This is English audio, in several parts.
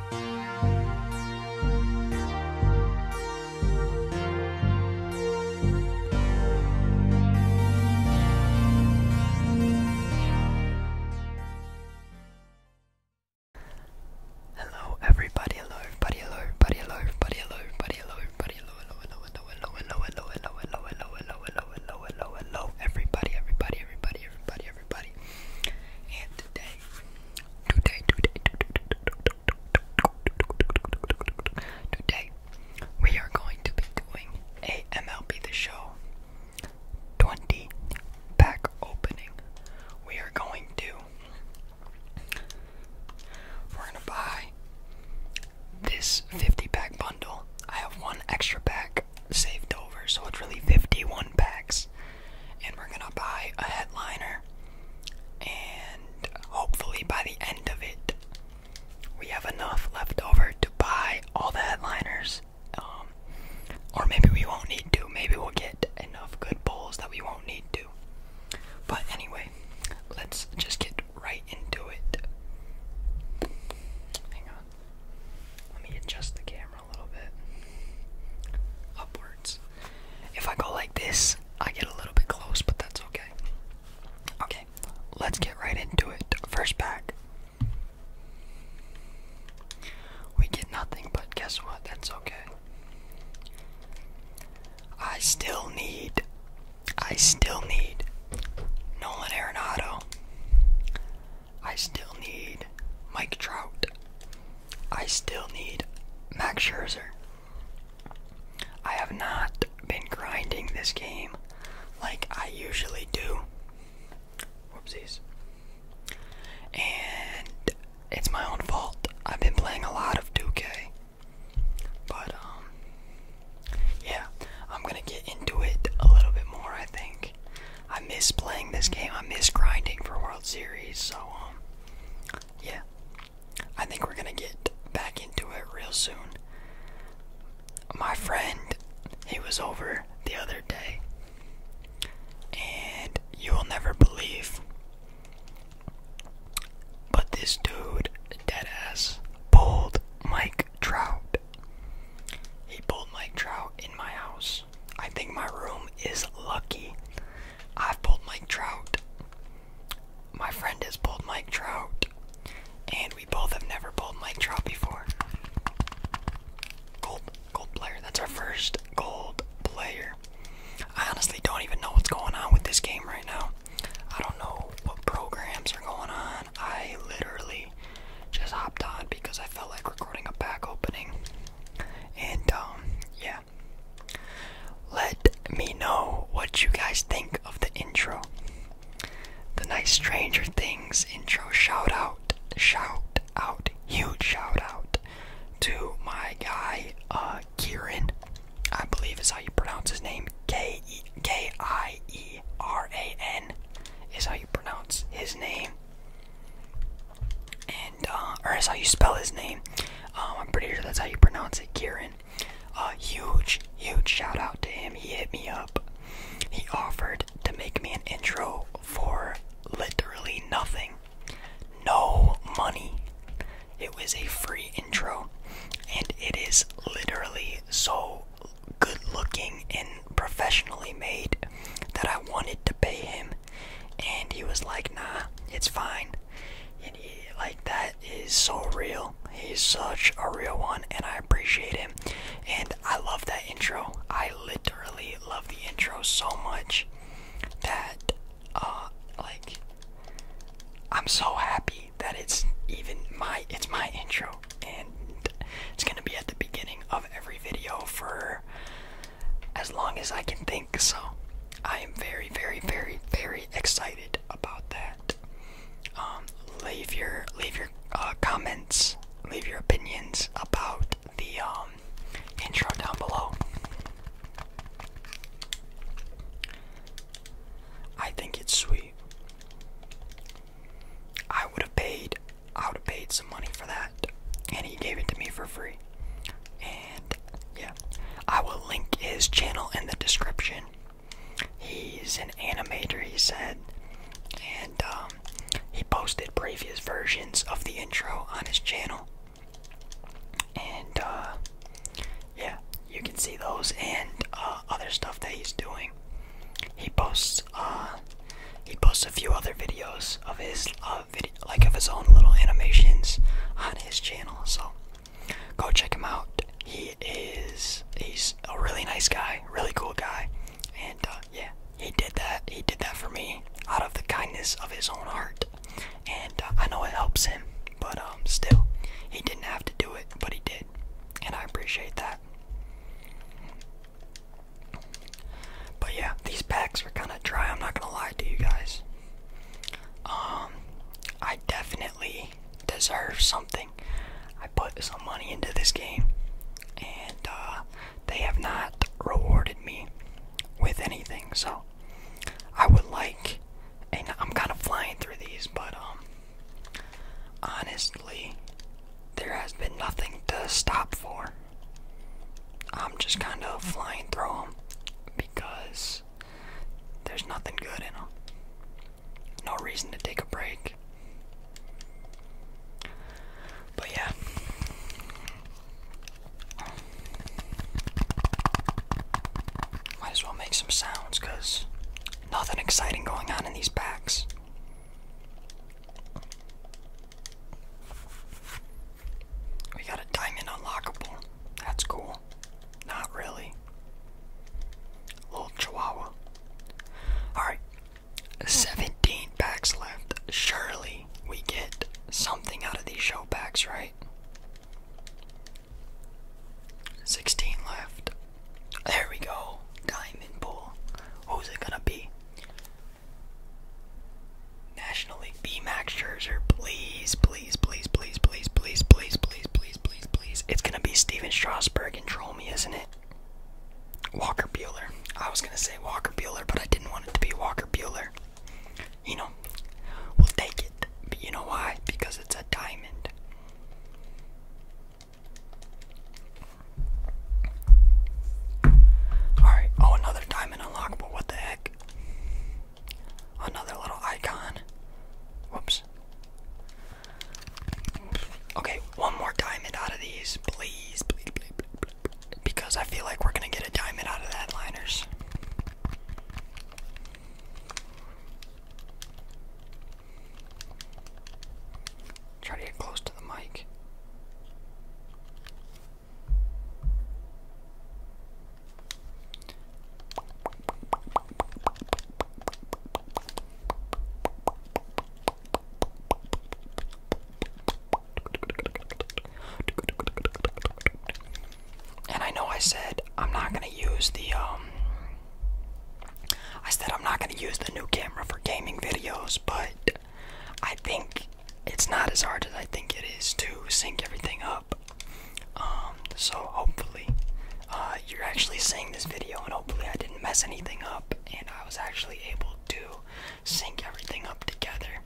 Hello everybody, hello everybody, hello everybody, hello everybody, hello everybody, hello hello, hello, hello, hello, hello, hello, hello, hello, hello, hello, hello, hello, hello, hello, everybody, everybody, everybody, everybody, everybody. And today Today, today, today, we are going to be doing a MLB The Show 20 pack opening. We are going to, we're going to buy this 50 pack bundle. I have one extra pack saved over, so it's really 51 packs and we're gonna buy a headliner. And hopefully, by the end of it, we have enough left over to buy all the headliners. Um, or maybe we won't need to. Maybe we'll get enough good bowls that we won't need to. But anyway, let's just get right into it. Hang on. Let me adjust the camera a little bit upwards. If I go like this, I get a little bit close, but that's okay. Okay, let's get right into it. First pack. We get nothing, but guess what? That's okay. I still need, I still need Nolan Arenado. I still need Mike Trout. I still need Max Scherzer. I have not been grinding this game like I usually do. Whoopsies. And it's my own fault. I've been playing a lot of 2 But, um, yeah, I'm gonna get into it a little bit more, I think. I miss playing this game. I miss grinding for World Series. So um, yeah, I think we're gonna get back into it real soon. My friend, he was over the other day, and you will never believe. But this dude, dead ass, pulled Mike Trout. He pulled Mike Trout in my house. I think my room is lucky. I've pulled Mike Trout. My friend has pulled Mike Trout. And we both have never pulled Mike Trout before. Gold, gold player. That's our first gold player. I honestly don't even know what's going on with this game right now. I don't know what programs are going on. I literally just hopped on because I felt like recording a back opening. And um, yeah. Let me know what you guys think of the intro. The nice Stranger Things intro. Shout out, shout out, huge shout out to my guy, uh, Kieran. I believe is how you pronounce his name. K E K I E R A N is how you pronounce his name and uh, or that's how you spell his name. Um, I'm pretty sure that's how you pronounce it, Kieran. Uh, huge, huge shout out to him. He hit me up. He offered to make me an intro for literally nothing, no money. It was a free intro, and it is literally so good looking and professionally made that I wanted to pay him and he was like, "Nah, it's fine." And he, like that is so real. He's such a real one, and I appreciate him. And I love that intro. I literally love the intro so much that, uh, like, I'm so happy that it's even my it's my intro, and it's gonna be at the beginning of every video for as long as I can think. So I am very, very, very, very excited about that. Um, leave your leave your uh, comments, leave your opinions about the um, intro down below. I think it's sweet. I would have paid I would have paid some money for that. And he gave it to me for free. And yeah, I will link his channel in the description. He's an animator, he said, and um, he posted previous versions of the intro on his channel. And uh, yeah, you can see those and uh, other stuff that he's doing. He posts uh, he posts a few other videos of his video, like of his own little animations on his channel. So go check him out. He is he's a really nice guy, really cool guy, and uh, yeah, he did that. He did that for me out of the kindness of his own heart, and uh, I know it helps him, but um, still, he didn't have to do it, but he did, and I appreciate that. But yeah, these packs are kind of dry. I'm not gonna lie to you guys. Um, I definitely deserve something. I put some money into this game, and uh, they have not rewarded me with anything. So I would like, and I'm kind of flying through these, but um, honestly, there has been nothing to stop for. I'm just kind of flying through them because there's nothing good in them. No reason to take a break. But yeah. Might as well make some sounds because nothing exciting going on in these packs. We got a diamond unlockable. That's cool. Not really. Little chihuahua. Alright. 17 packs left. Surely we get something out of these show packs, right? 16 left. There we go. Diamond bull. Who's it gonna be? National League B Max Scherzer, please, please, please, please, please, please, please, please, please, please, please. It's gonna be Steven Strasburg and troll me, isn't it? Walker Bueller. I was gonna say Walker Bueller, but I didn't want it to be Walker Bueller. You know, we'll take it. But you know why? Because it's a diamond. Alright, oh another diamond unlockable, what the heck? another little icon. Whoops. Okay, one more diamond out of these, please, please, please, please because I feel like we're gonna get a diamond out of that liners. Try to get close to the mic. And I know I said I'm not going to use the um I said I'm not going to use the new camera for gaming videos, but I think it's not as hard as I think it is to sync everything up. Um, so hopefully, uh, you're actually seeing this video, and hopefully, I didn't mess anything up, and I was actually able to sync everything up together.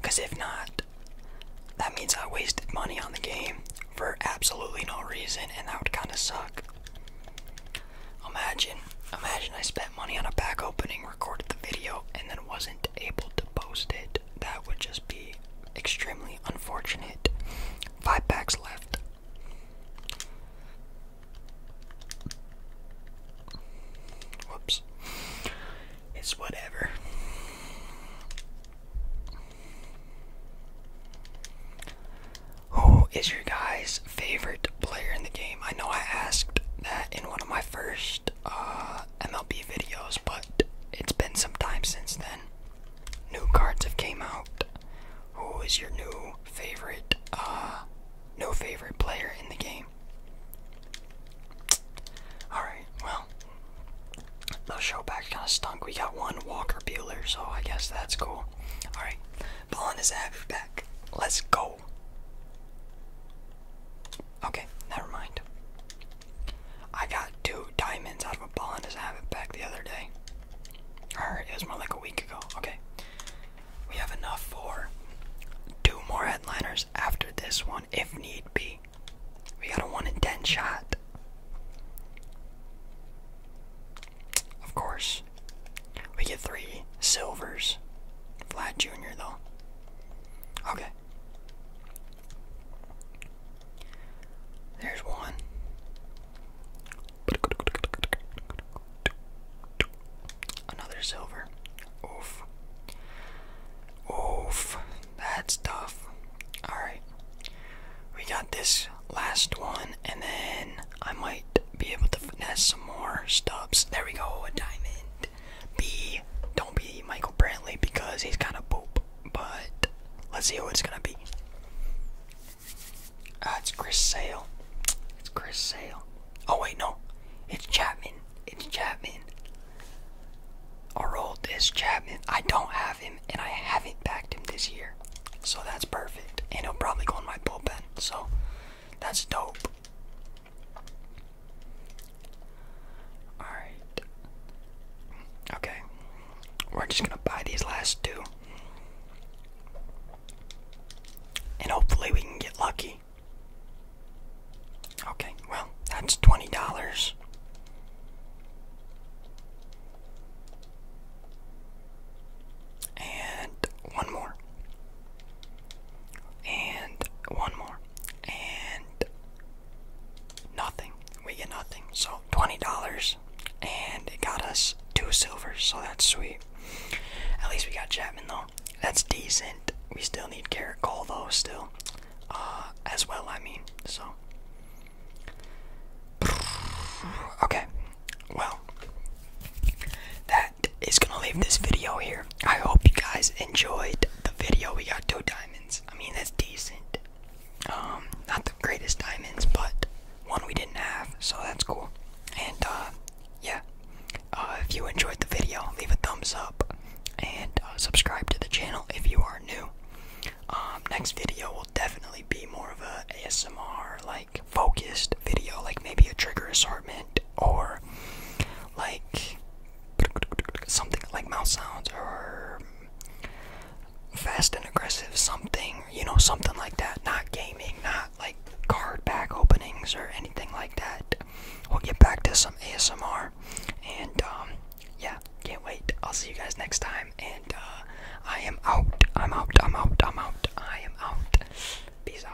Because if not, that means I wasted money on the game for absolutely no reason, and that would kind of suck. Imagine, imagine I spent money on a pack opening, recorded the video, and then wasn't able to post it. That would just be extremely unfortunate. Five packs left. Whoops. It's whatever. Who is your guys' favorite player in the game. I know I asked that in one of my first uh, MLB videos, but it's been some time since then. New cards have came out. Who is your new favorite? Uh, no favorite player in the game. Alright, well, the showback kind of stunk. We got one Walker Bueller, so I guess that's cool. Alright, Ball on his halfback. Let's go. Okay, never mind. I got two diamonds out of a ball on his halfback the other day. Or it was more like a week ago. Okay. We have enough for two more headliners after this one, if need be. We got a 1 in 10 shot. Of course. We get three silvers. Flat Jr., though. Okay. There's one. Another silver. Oof. Oof. That's tough. Alright. We got this last one, and then I might be able to finesse some more stubs. There we go, a diamond. B, don't be Michael Brantley because he's kind of poop. But let's see who it's gonna be. Uh, it's Chris Sale. It's Chris Sale. Oh wait, no, it's Chapman. It's Chapman. Our old is Chapman. I don't have him, and I haven't backed him this year, so that's perfect. And he'll probably go in my bullpen, so that's dope. Alright. Okay. We're just gonna buy these last two. And hopefully we can get lucky. Okay, well, that's twenty dollars. And one more and one more, and nothing. We get nothing. So $20, and it got us two silvers, so that's sweet. At least we got Chapman, though. That's decent. We still need Garrett though, still. Uh, as well, I mean, so. Okay, well, that is is gonna leave this video here. I hope you guys enjoyed the video. We got two diamonds. I mean that's decent. Um, not the greatest diamonds, but one we didn't have, so that's cool. And uh yeah. Uh, if you enjoyed the video, leave a thumbs up and uh, subscribe to the channel if you are new. Um next video will definitely be more of a ASMR like focused video, like maybe a trigger assortment or like something like mouse sounds or fast and aggressive something, you know, something like that. Not gaming, not like card pack openings or anything like that. We'll get back to some ASMR and um, yeah, can't wait. I'll see you guys next time and uh, I am out. I'm out. I'm out. I'm out. I am out. Peace out.